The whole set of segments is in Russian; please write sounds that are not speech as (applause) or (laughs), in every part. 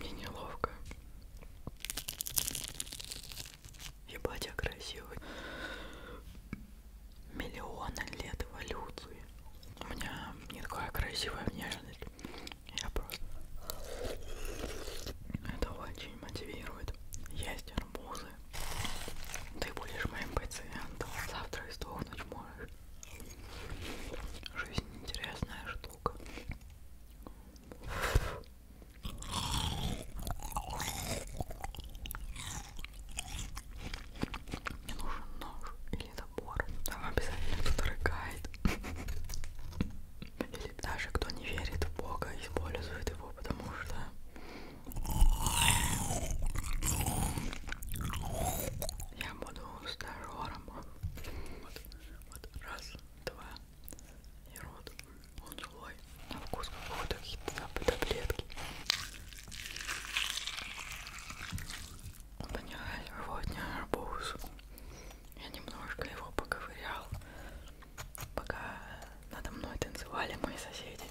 Мне неловко. Ебать, я красивый. Миллионы лет эволюции. У меня не такая красивая внешность. Я просто... Это очень мотивирует. Есть арбузы. Ты будешь моим пациентом. Завтра и сдохнуть можешь. Жизнь интересная штука. Мне нужен нож или топор. Там обязательно кто-то рыгает. Или даже кто не верит в Бога, использует его, потому что я буду стажером. Вот, вот, раз, два. И рот. Он злой. На вкус какого-то какие-то таблетки. Понимаешь, сегодня арбуз. Я немножко его поковырял, пока надо мной танцевали мои соседи.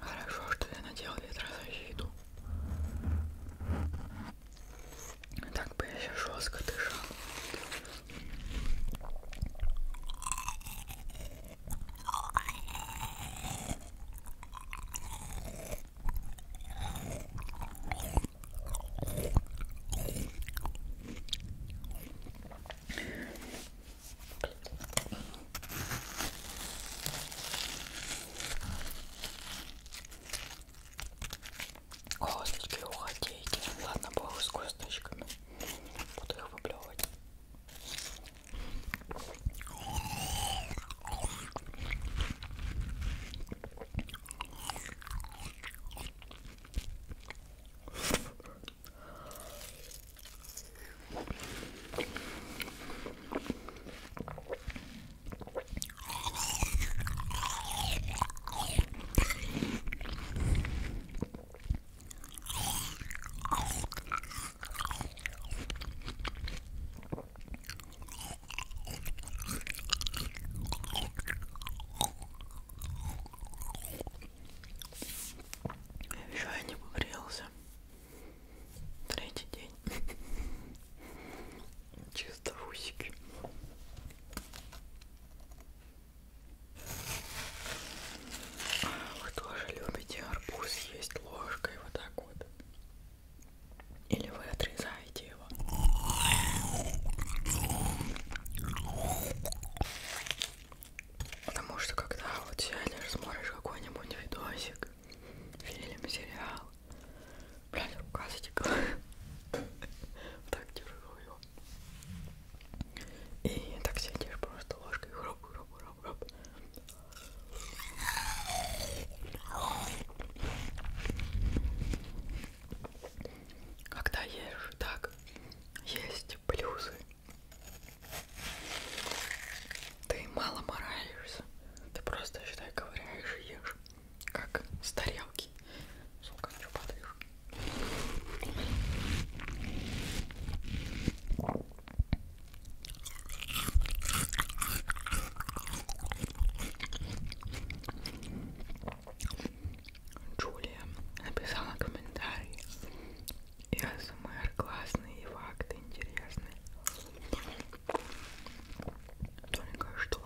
Хорошо, что я надела ветрозащиту. Так бы я сейчас жестко дышал. Косточки уходите. Ладно, бог с косточками. Буду их выплевывать. Еще я не погрелся. Третий день. (laughs) Чисто усики. Вы тоже любите арбуз есть ложкой вот так вот? Или вы отрезаете его? Потому что когда вот сядешь, смотришь какой-нибудь видосик, фильм, сериал, Блядь, рука затекла. (laughs) Так держу его. И так сидишь просто ложкой. Хруп, хруп, хруп, хруп. Когда ешь так, есть плюсы. Ты мало мораешься. Ты просто, считай, ковыряешь и ешь. Как с тарелки. Сука, что подрежь. Джулия написала комментарий. СМР классный и факты интересные. Только что.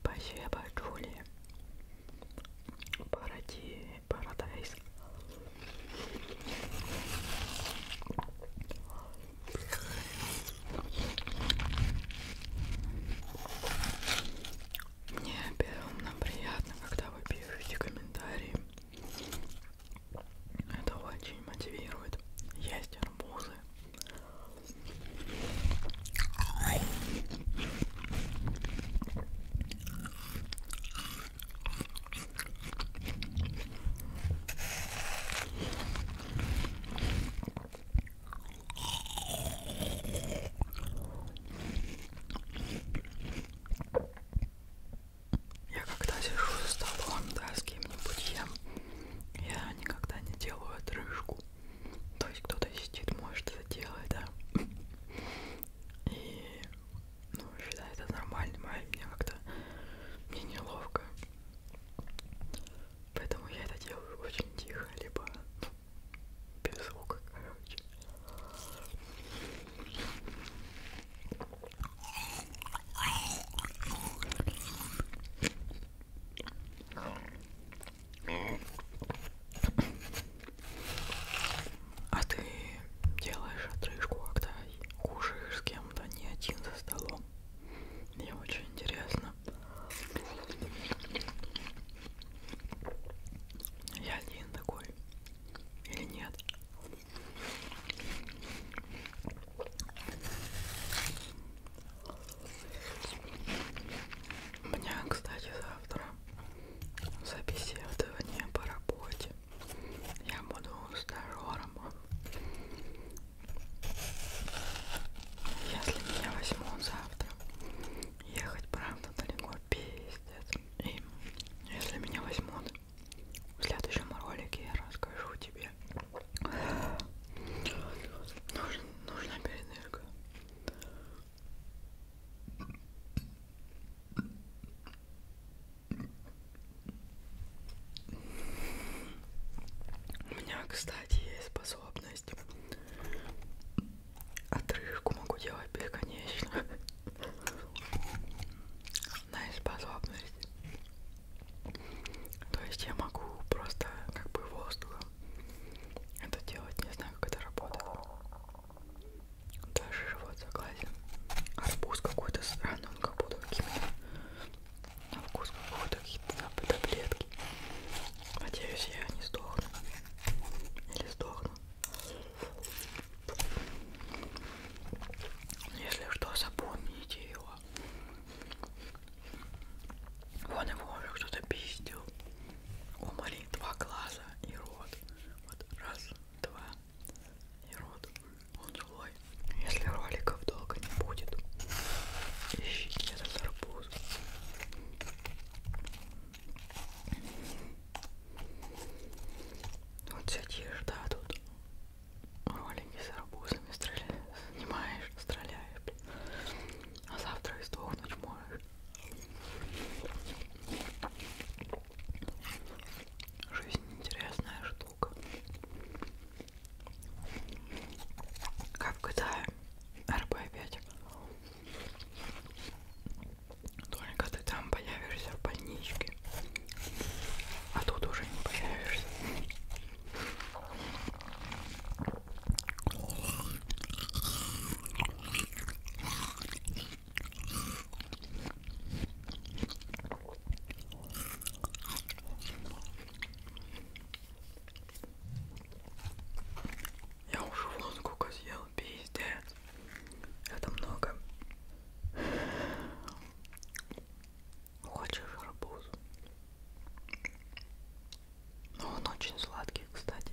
Спасибо, Джули. Паради... Парадайз. Мне безумно приятно, когда вы пишете комментарии это очень мотивирует. Есть арбузы я когда сижу за столом, да, с кем-нибудь ем, я никогда не делаю отрыжку. То есть кто-то сидит, может это делать, да. И, ну, считай, это нормально, а мне как-то, мне неловко. Поэтому я это делаю очень тихо, либо, ну, без звука, короче. А ты делаешь отрыжку, когда кушаешь с кем-то не один за столом. Мне очень интересно. Я один такой. Или нет? У меня, кстати, завтра собеседование по работе. Я буду здоровым. Если меня возьмут завтра, ехать правда далеко пиздец. И если меня возьмут, в следующем ролике я расскажу тебе. Нужна, нужна передышка. У меня, кстати, есть способность. Отрыжку могу делать бесконечно основная способность. То есть я могу просто как бы воздухом это делать, не знаю, как это работает. Даже живот согласен. Арбуз какой-то странный, он как будто какими-то на вкус какой-то какие-то таблетки. Надеюсь, я не сдохну. Или сдохну. Если что, запомните его. Вон его уже кто-то пиздил. Умоли два глаза и рот. Вот раз, два и рот. Он злой. Если роликов долго не будет, ищите этот арбуз. Вот сидишь, да, тут ролики с арбузами стреля... снимаешь, стреляешь, блин. А завтра и сдохнуть можешь. Жизнь интересная штука. Как в GTA а, РП-5. Только ты там появишься в больничке. А тут уже не появишься. Я уже вон сколько съел, пиздец. Это много. Хочешь арбуз? Ну, он очень сладкий, кстати.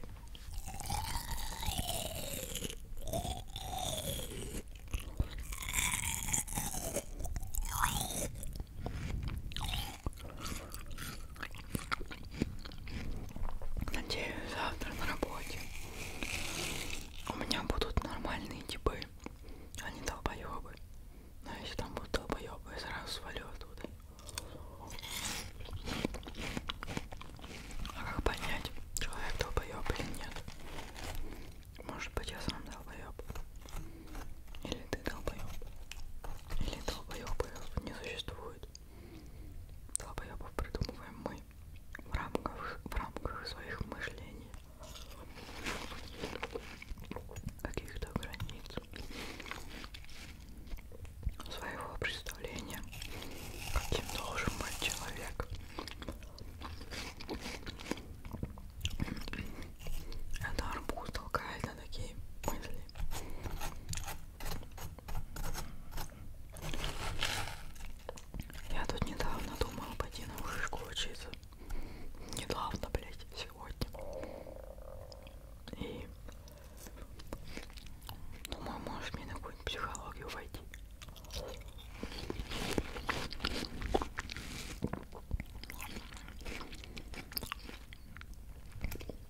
Надеюсь, завтра на работе у меня будут нормальные типы. Они долбоебы. Но ну, если там будут долбоебы, я сразу свалю оттуда. А как понять, человек долбоеб или нет? Может быть я сам долбоеб. Или ты долбоеб. Или долбоебов не существует. Долбоебов придумываем мы в рамках, в рамках своих мышлений каких-то границ своего представления, каким должен быть человек. Это арбуз толкает на такие мысли. Я тут недавно думала пойти на вышку учиться недавно, блядь, сегодня. И думаю, можешь мне на какую-нибудь психологию войти.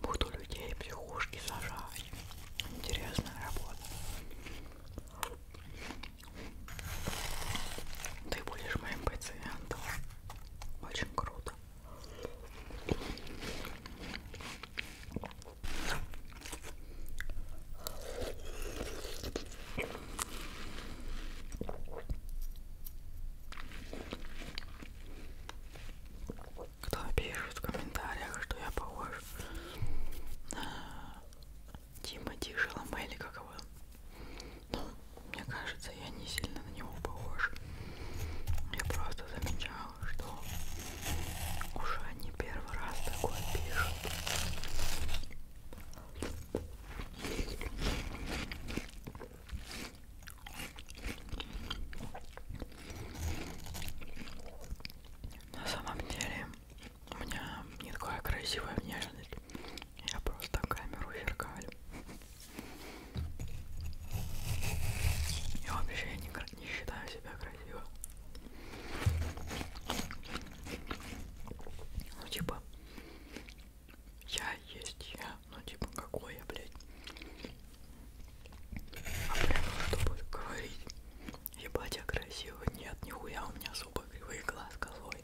Буду людей психушки сажать. Интересная работа. Ты будешь моим пациентом. Очень круто. Кто пишет в комментариях, что я похож на Тимати Шаломе, или как его? Ну, мне кажется, я не сильно на него похож. Я просто замечала, что уже не первый раз такое пишут. На самом деле у меня не такая красивая внешность. Я просто камеру зеркалю. Я вообще никак не считаю себя красиво. Ну типа, я есть я, ну типа какой я, блядь. А прямо ну, чтобы говорить, ебать я красивый, нет, нихуя у меня особо кривые глаз козлой.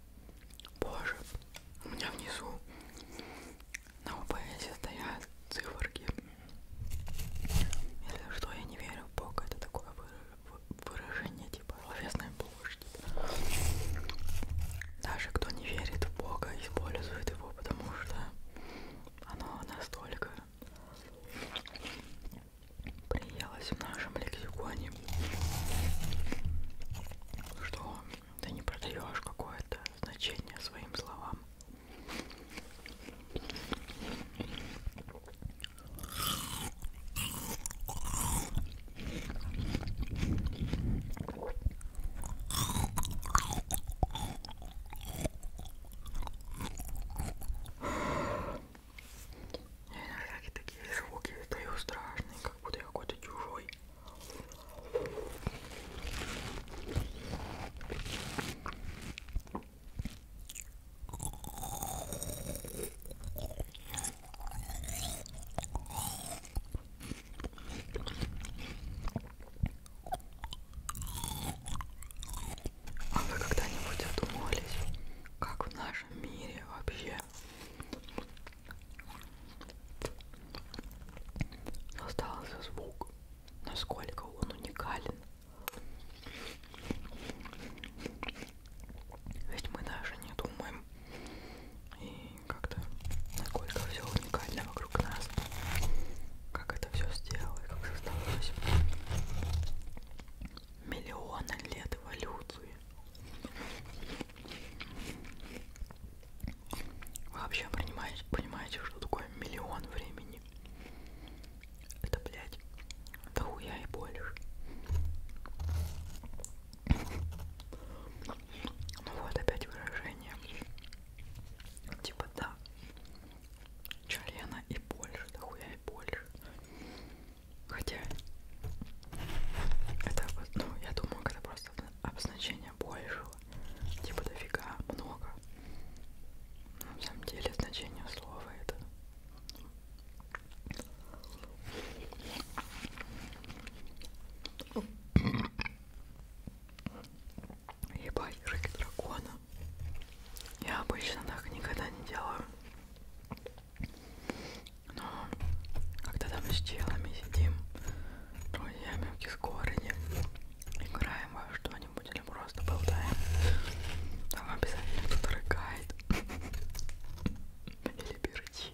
Боже, у меня внизу на УПС стоят циферки. Если что, я не верю в Бога, это такое выражение типа словесной площади. Даже кто не верит в Бога, использует его, потому что оно настолько приелось в нашем лексиконе, что ты не продаешь какое-то значение своим словам. Я иногда такие звуки издаю страшные, как будто я какой-то чужой. А вы когда-нибудь задумывались, как в нашем мире вообще Остался звук, насколько он уникален. Ведь мы даже не думаем и как-то насколько все уникально вокруг нас, как это все сделано, как создалось миллионы лет эволюции. Вы вообще понимаете, понимаете, что такое миллион времени? Это, блядь, да хуя и больше. Ну вот опять выражение. Типа да. Члена и больше, да хуя и больше. Хотя это, ну, я думаю, это просто обозначение большего. Типа дофига, много. На самом деле значение слова это. Ебать, рыки дракона. Я обычно так никогда не делаю. Но когда там с челами сидим, Ой, я мелкий с городе. Играем во что-нибудь или просто болтаем. Там обязательно кто-то рыгает. Или перчит.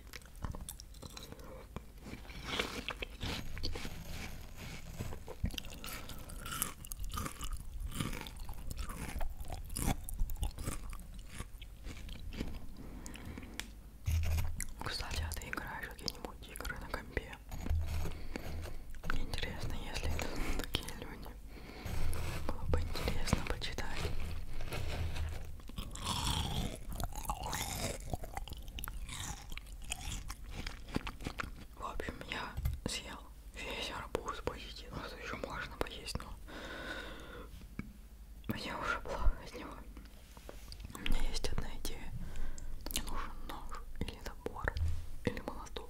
Кстати, а ты играешь какие-нибудь игры на компе? Мне интересно, если это (laughs) такие люди. Было бы интересно почитать. В общем, я съел весь арбуз почти. Ну, что еще можно поесть, но мне уже плохо от него. У меня есть одна идея. Мне нужен нож или набор или молоток.